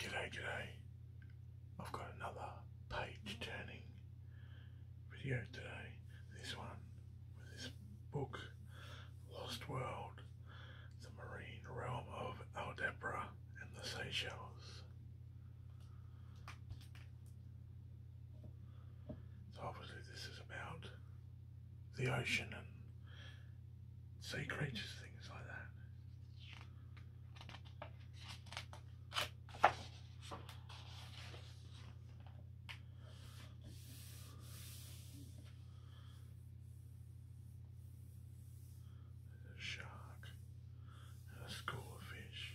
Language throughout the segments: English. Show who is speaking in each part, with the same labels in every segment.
Speaker 1: G'day, g'day. I've got another page turning video today. This one with this book, Lost World, the marine realm of Aldebra and the Seychelles. So obviously this is about the ocean and sea creatures, things like that. shark a school of fish.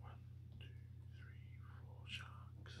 Speaker 1: One, two, three, four sharks.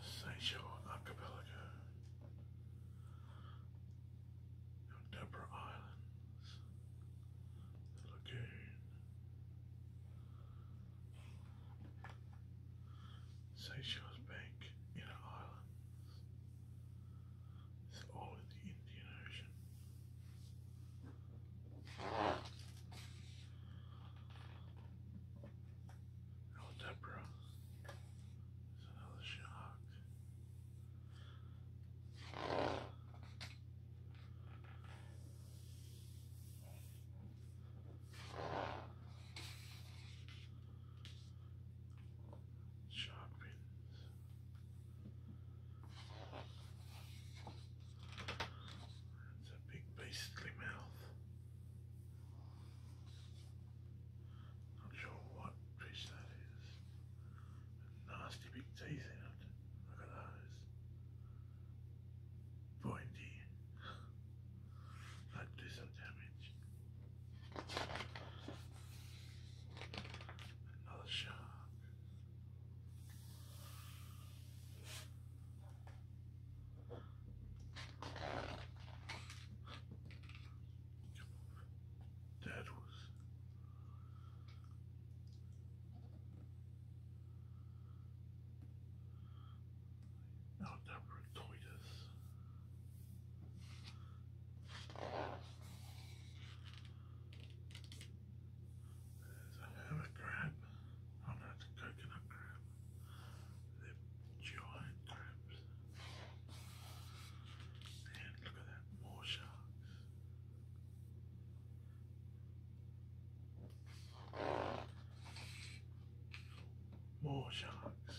Speaker 1: Sideshow Archipelago, the Deborah Islands, the Lagoon, Seychelles Bank, Inner Islands, it's all in the Indian Ocean. Algebra another shark. Shark fins. It's a big beastly mouth. Not sure what fish that is. nasty big teeth in it. Look at those. Pointy. That do some damage. Another shot. That was now Deborah Toitus. There's a hermit crab. Oh a coconut crab. They're giant crabs. And look at that, more sharks. More sharks.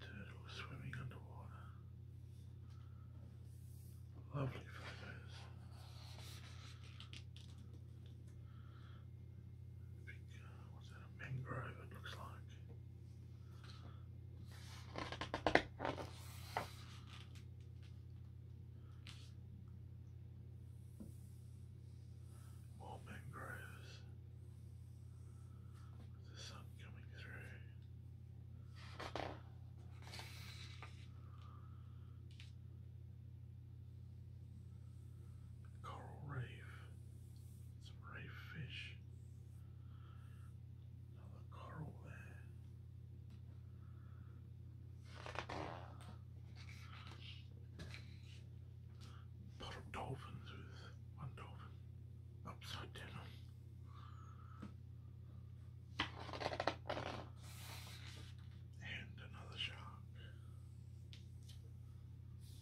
Speaker 1: Turtles swimming underwater. Lovely photos. Big, uh, what's that, a mangrove it looks like. More mangroves the sun coming through. Coral reef, some reef fish, another coral there bottle dolphins with one dolphin upside down. And another shark.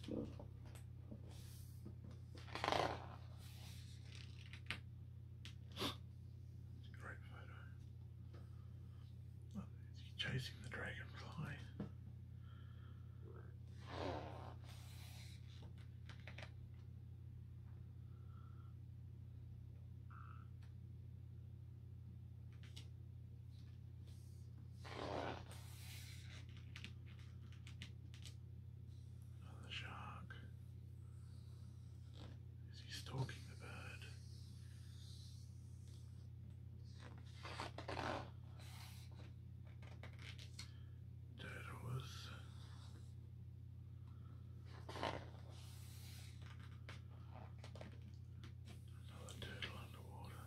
Speaker 1: It's a great photo. Oh, chasing the dragonfly. Another shark. Is he stalking the bird? That was another turtle underwater.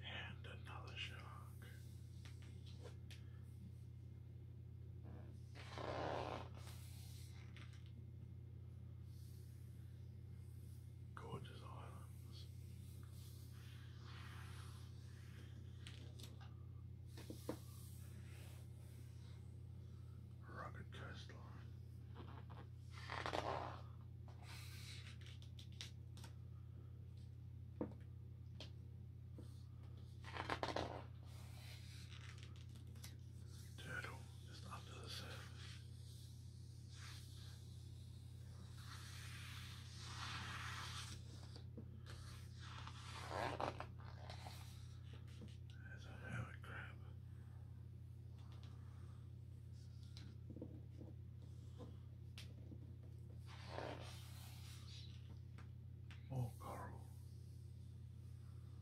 Speaker 1: And another shark. Gorgeous islands. Rugged coastline. Turtle is under the surface. There's a hermit crab. More coral.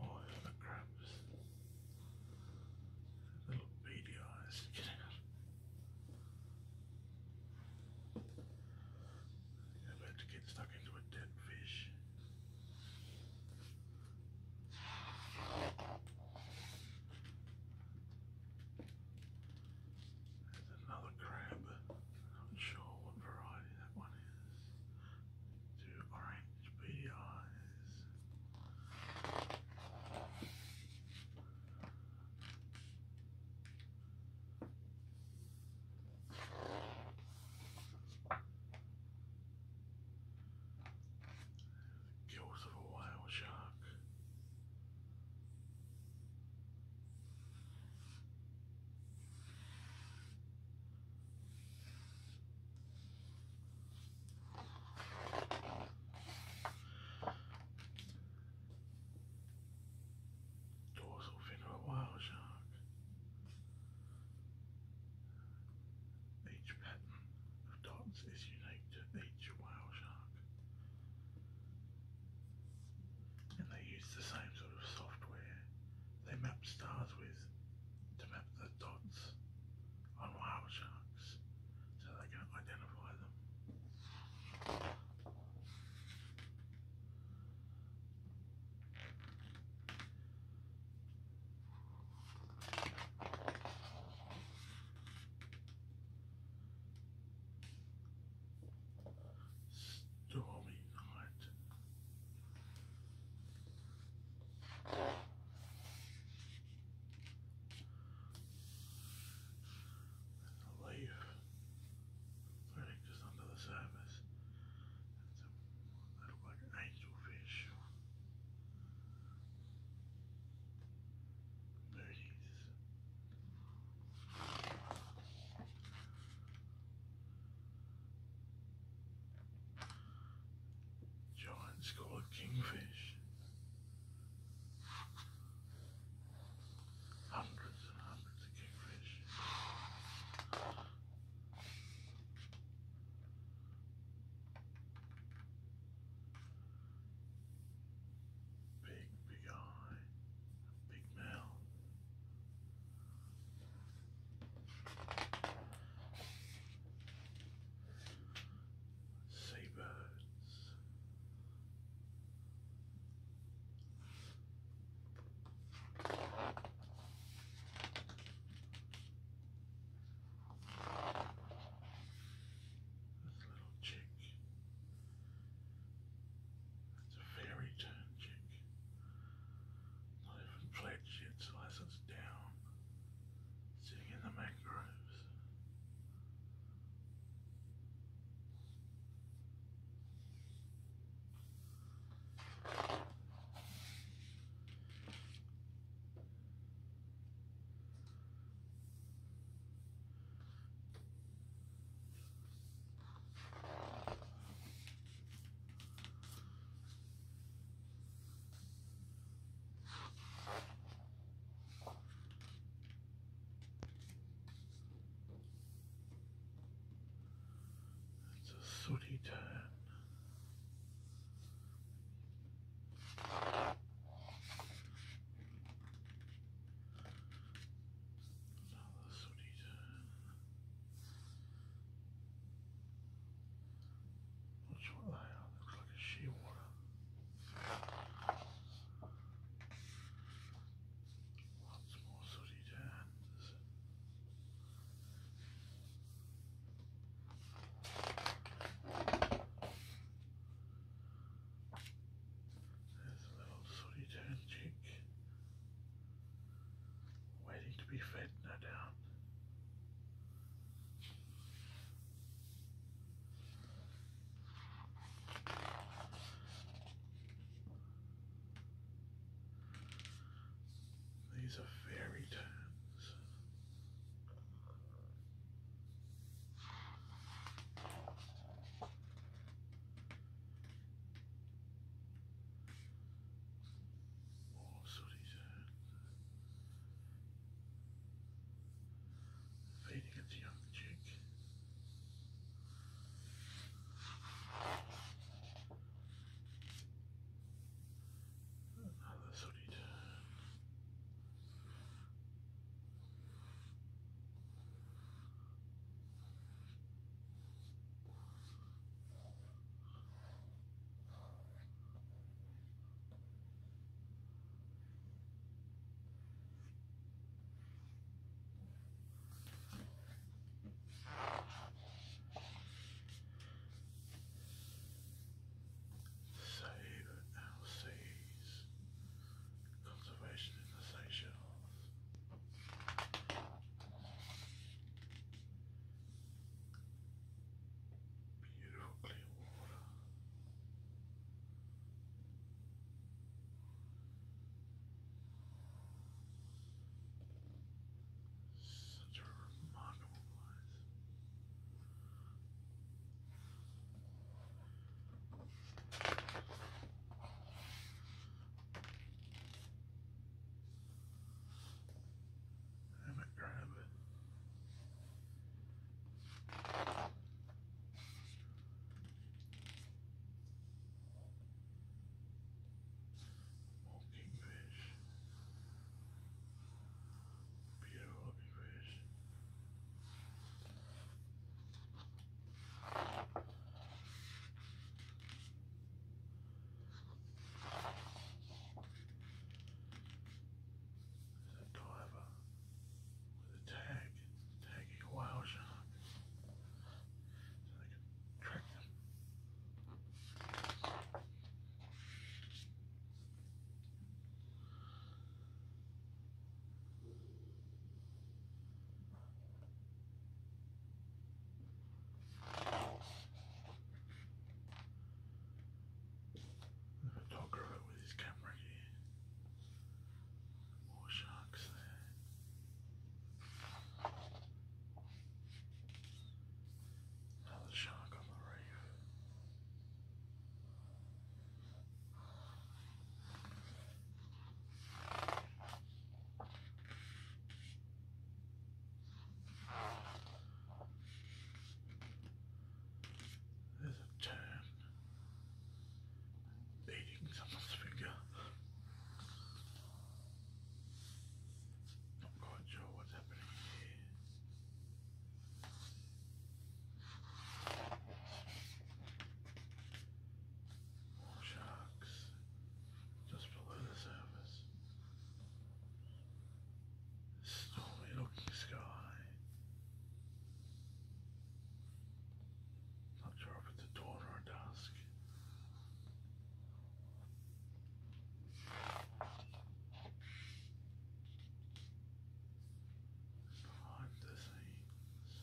Speaker 1: Oh, yeah, the crap little beady eyes about to get stuck into a dead fish. There's another crab. not sure what variety that one to orange beady eyes. The gills of a whale shark. Dorsal fin of a wild shark. Each pattern of dots is unique to each whale shark. And they use the same sort of software they map stars with to map the dots on whale sharks so they can identify them. Stormy night. life verdict is under the surface. It's a little like angelfish. There he Giant's called kingfish. Hundreds and hundreds of kingfish. Big, big eye, big mouth. Seabirds. This little chick. It's a fairy turn chick. Not even played shit, license down. Sitting in the mangroves. It's a sooty turn. Another sooty tan. That's what oh, they are, looks like a shearwater. Lots more sooty tans. There's a little sooty tan chick waiting to be fed, no doubt. These are fairy tales. Oh, sooty sands. Feeding at young chick. Another sooty Save Alces. Conservation in the Seychelles. Beautiful clear water. Such a remarkable place. I might grab it. More kingfish. Beautiful kingfish. Is that With a tag, tagging a So they can track them. Talk about with his camera here. More sharks there. Another shark on the reef. There's a turn. Eating someone's finger. Not quite what's happening here. More just below the surface. Stormy looking sky. Not sure if it's dawn or dusk. Behind the scenes,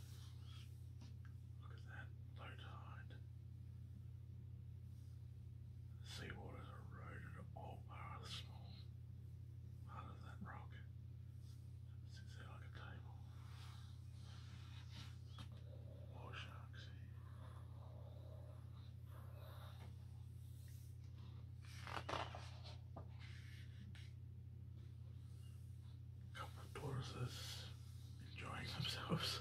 Speaker 1: Look at that, low tide. The seawater eroded all part of the small part that rock. It there like a table. More sharks Couple tortoises enjoying themselves.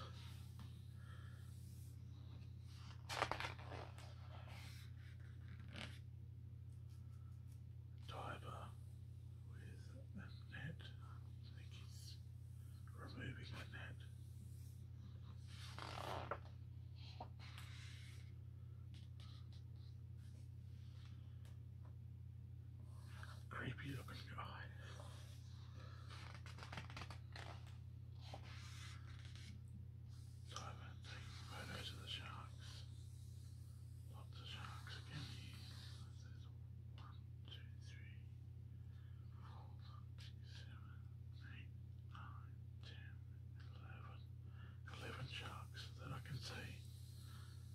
Speaker 1: Tiber with a net. I think he's removing the net. Creepy looking guy. Simon takes photos of the sharks. Lots of sharks again here. seven, eight, nine, ten, eleven. Eleven sharks that I can see.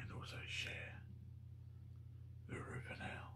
Speaker 1: and also share the for now.